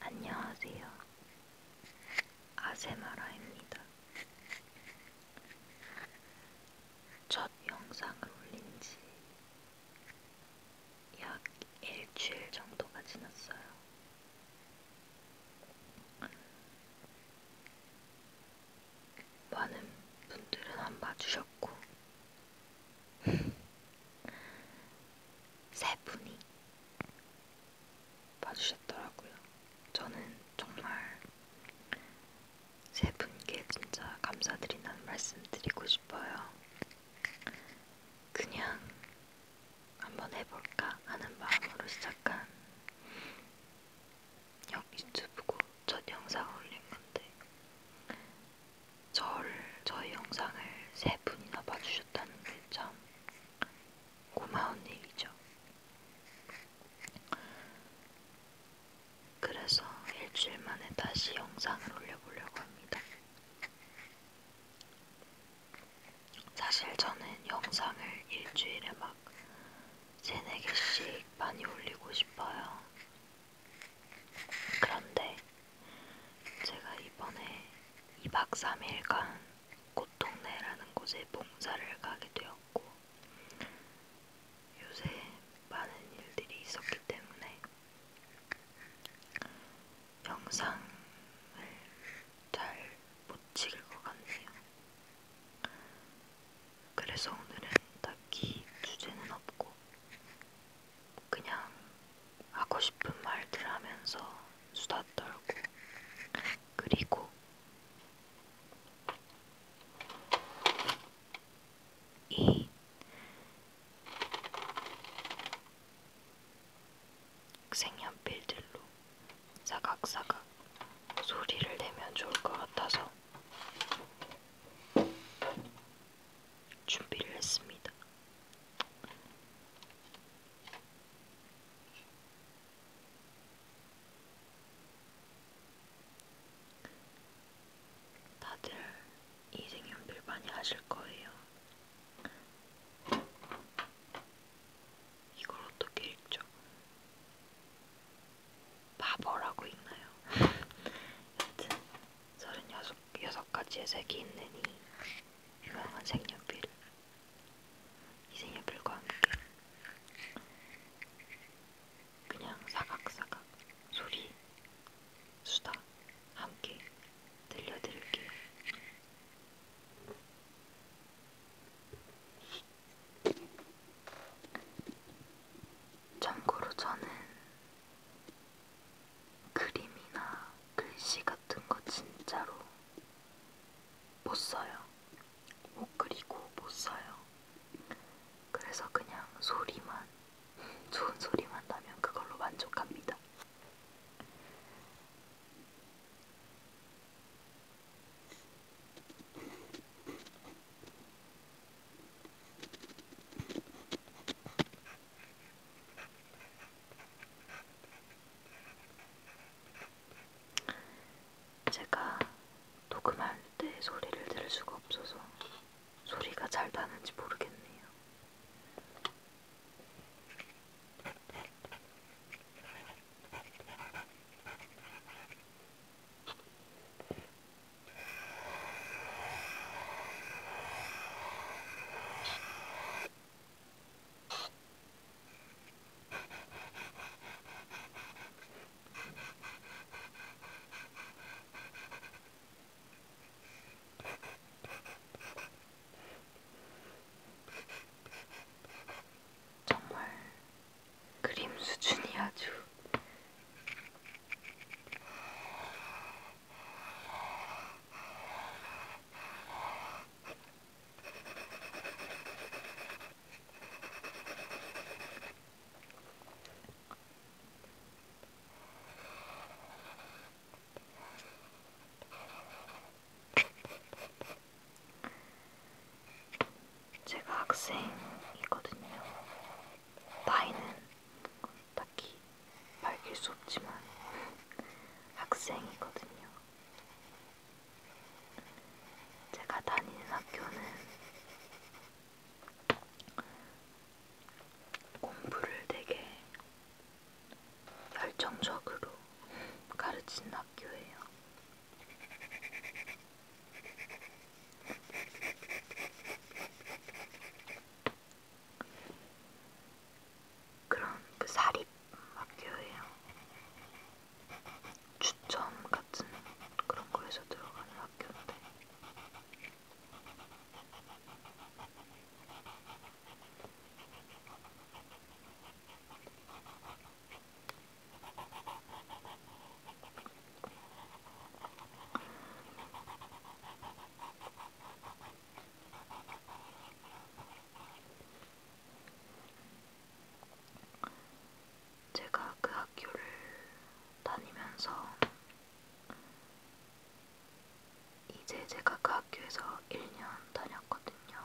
안녕하세요. 아세마라입니다. 첫 영상을 올린 지 약 일주일 정도가 지났어요. 많은 분들은 안 봐주셨고, 세 분이 봐주셨더라고요. 저는 정말 세 분께 진짜 감사드리는 말씀 드리고 싶어요. 그냥 한번 해볼까 하는 마음으로 시작한 여기 유튜브고 첫 영상 올린 건데 저를, 저희 영상을 세 분이나 봐주셨다는 게 참 고마운 일이죠. 그래서 일주일 만에 다시 영상을 올려보려고 합니다. 사실 저는 영상을 일주일에 막 세네 개씩 많이 올리고 싶어요. 그런데 제가 이번에 2박 3일간 꽃동네라는 곳에 봉사를 가게 되었고 요새 많은 일들이 있었기 때문에 영상을 잘 못 찍을 것 같네요. 그래서 오늘은 딱히 주제는 없고 그냥 하고 싶은 말들 하면서 수다 떨고 그리고 이 색연필들로 사각사각 소리를 내면 좋을 것 같아서 준비를 했습니다. 다들 이 색연필 많이 하실 거예요. 이걸 어떻게 읽죠? 바버라고 읽나요? 여튼 36가지의 색이 있는 이 유명한 색연필 이 색연필과 함께 그냥 사각사각 소리 수다 함께 들려드릴게요. 참고로 저는 그림이나 글씨 같은 거 진짜로 못 써요. 못 그리고 못 써요. 그래서 그냥 소리만, 좋은 소리만 나면 그걸로 만족합니다. 제가 녹음할 때 소리를 들을 수가 없어서 소리가 잘 나는지 모르겠네요. 정말 그림 수준이 아주 제가 학생이거든요. 나이는 딱히 밝힐 수 없지만 학생이거든요. 제가 다니는 학교는 공부를 되게 열정적으로 가르치는 학교예요. 그런 그 사립 학교예요. 추첨 같은 그런 거에서 들어가는 학교인데. 제가 그 학교를 다니면서 이제 제가 그 학교에서 1년 다녔거든요.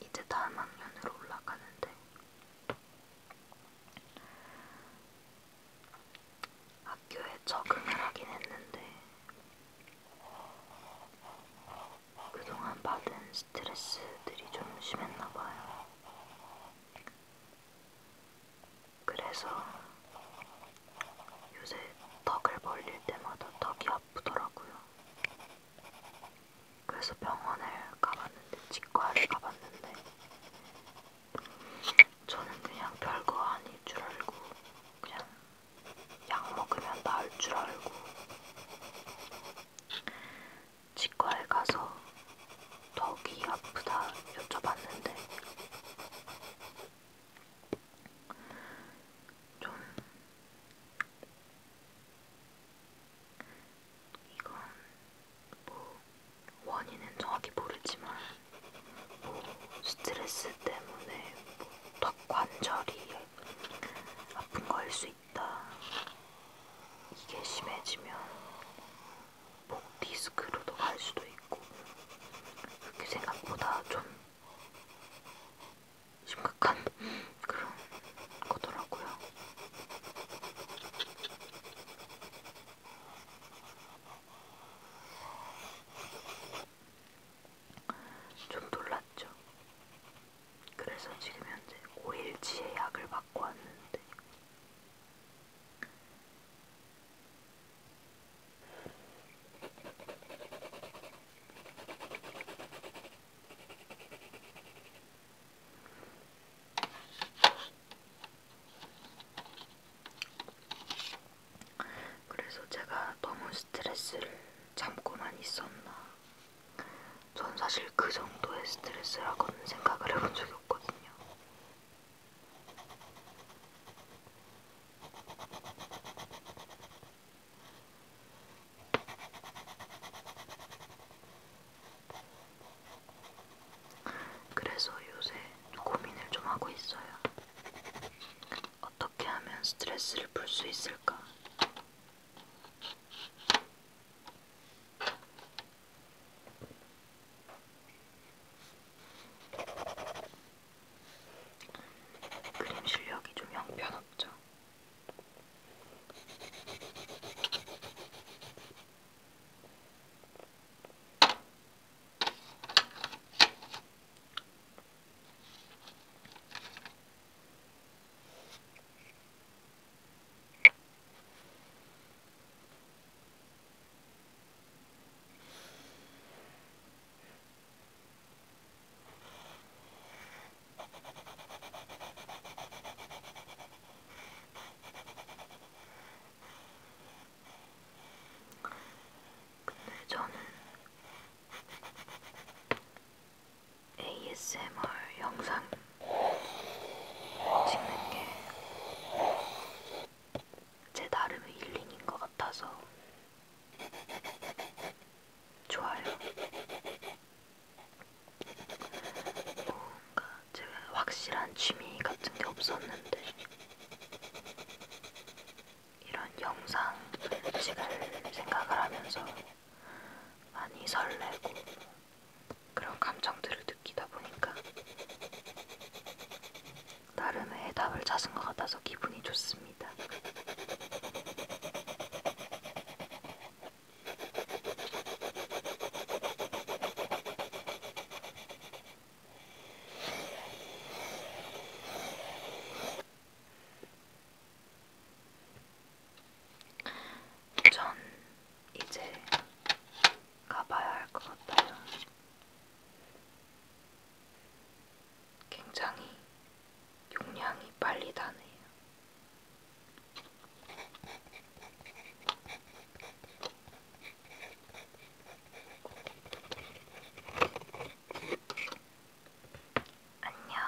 이제 다음 학년으로 올라가는데 학교에 적응을 하긴 했는데 그동안 받은 스트레스들이 좀 심했나 봐요. 그래서 요새 턱을 벌릴 때마다 턱이 아프더라고요. 그래서 병원을 가봤는데, 치과를 가봤는데, 저는 그냥 별거 아닐 줄 알고, 그냥 약 먹으면 나을 줄 알고, 치과에 가서 턱이 아프다 여쭤봤는데, 좀 이건 뭐 원인은 정확히 모르지만 뭐 스트레스 때문에 뭐 턱 관절이 아픈 거일 수 있다. 이게 심해지면 디스크로도 갈 수도 있고 그렇게 생각보다 좀 심각한 그런 거더라고요. 좀 놀랐죠. 그래서 지금 현재 5일치의 약을 맞고 왔는데 그래서 제가 너무 스트레스를 참고만 있었나. 전 사실 그 정도의 스트레스라고는 생각을 해본 적이 없거든요. 그래서 요새 고민을 좀 하고 있어요. 어떻게 하면 스트레스를 풀 수 있을까? 그림 실력이 좀 형편없죠. 근데 저는 ASMR 영상 찍는 게 제 나름의 힐링인 것 같아서 좋아요. 뭔가 제가 확실한 취미 같은 게 없었는데 이런 영상을 찍을 생각을 하면서 많이 설레고 그런 감정들을 느끼다 보니까 나름의 해답을 찾은 것 같아서 기분이 좋습니다. 전 이제 가봐야 할 것 같아요. 굉장히 용량이 빨리 다네요. 안녕.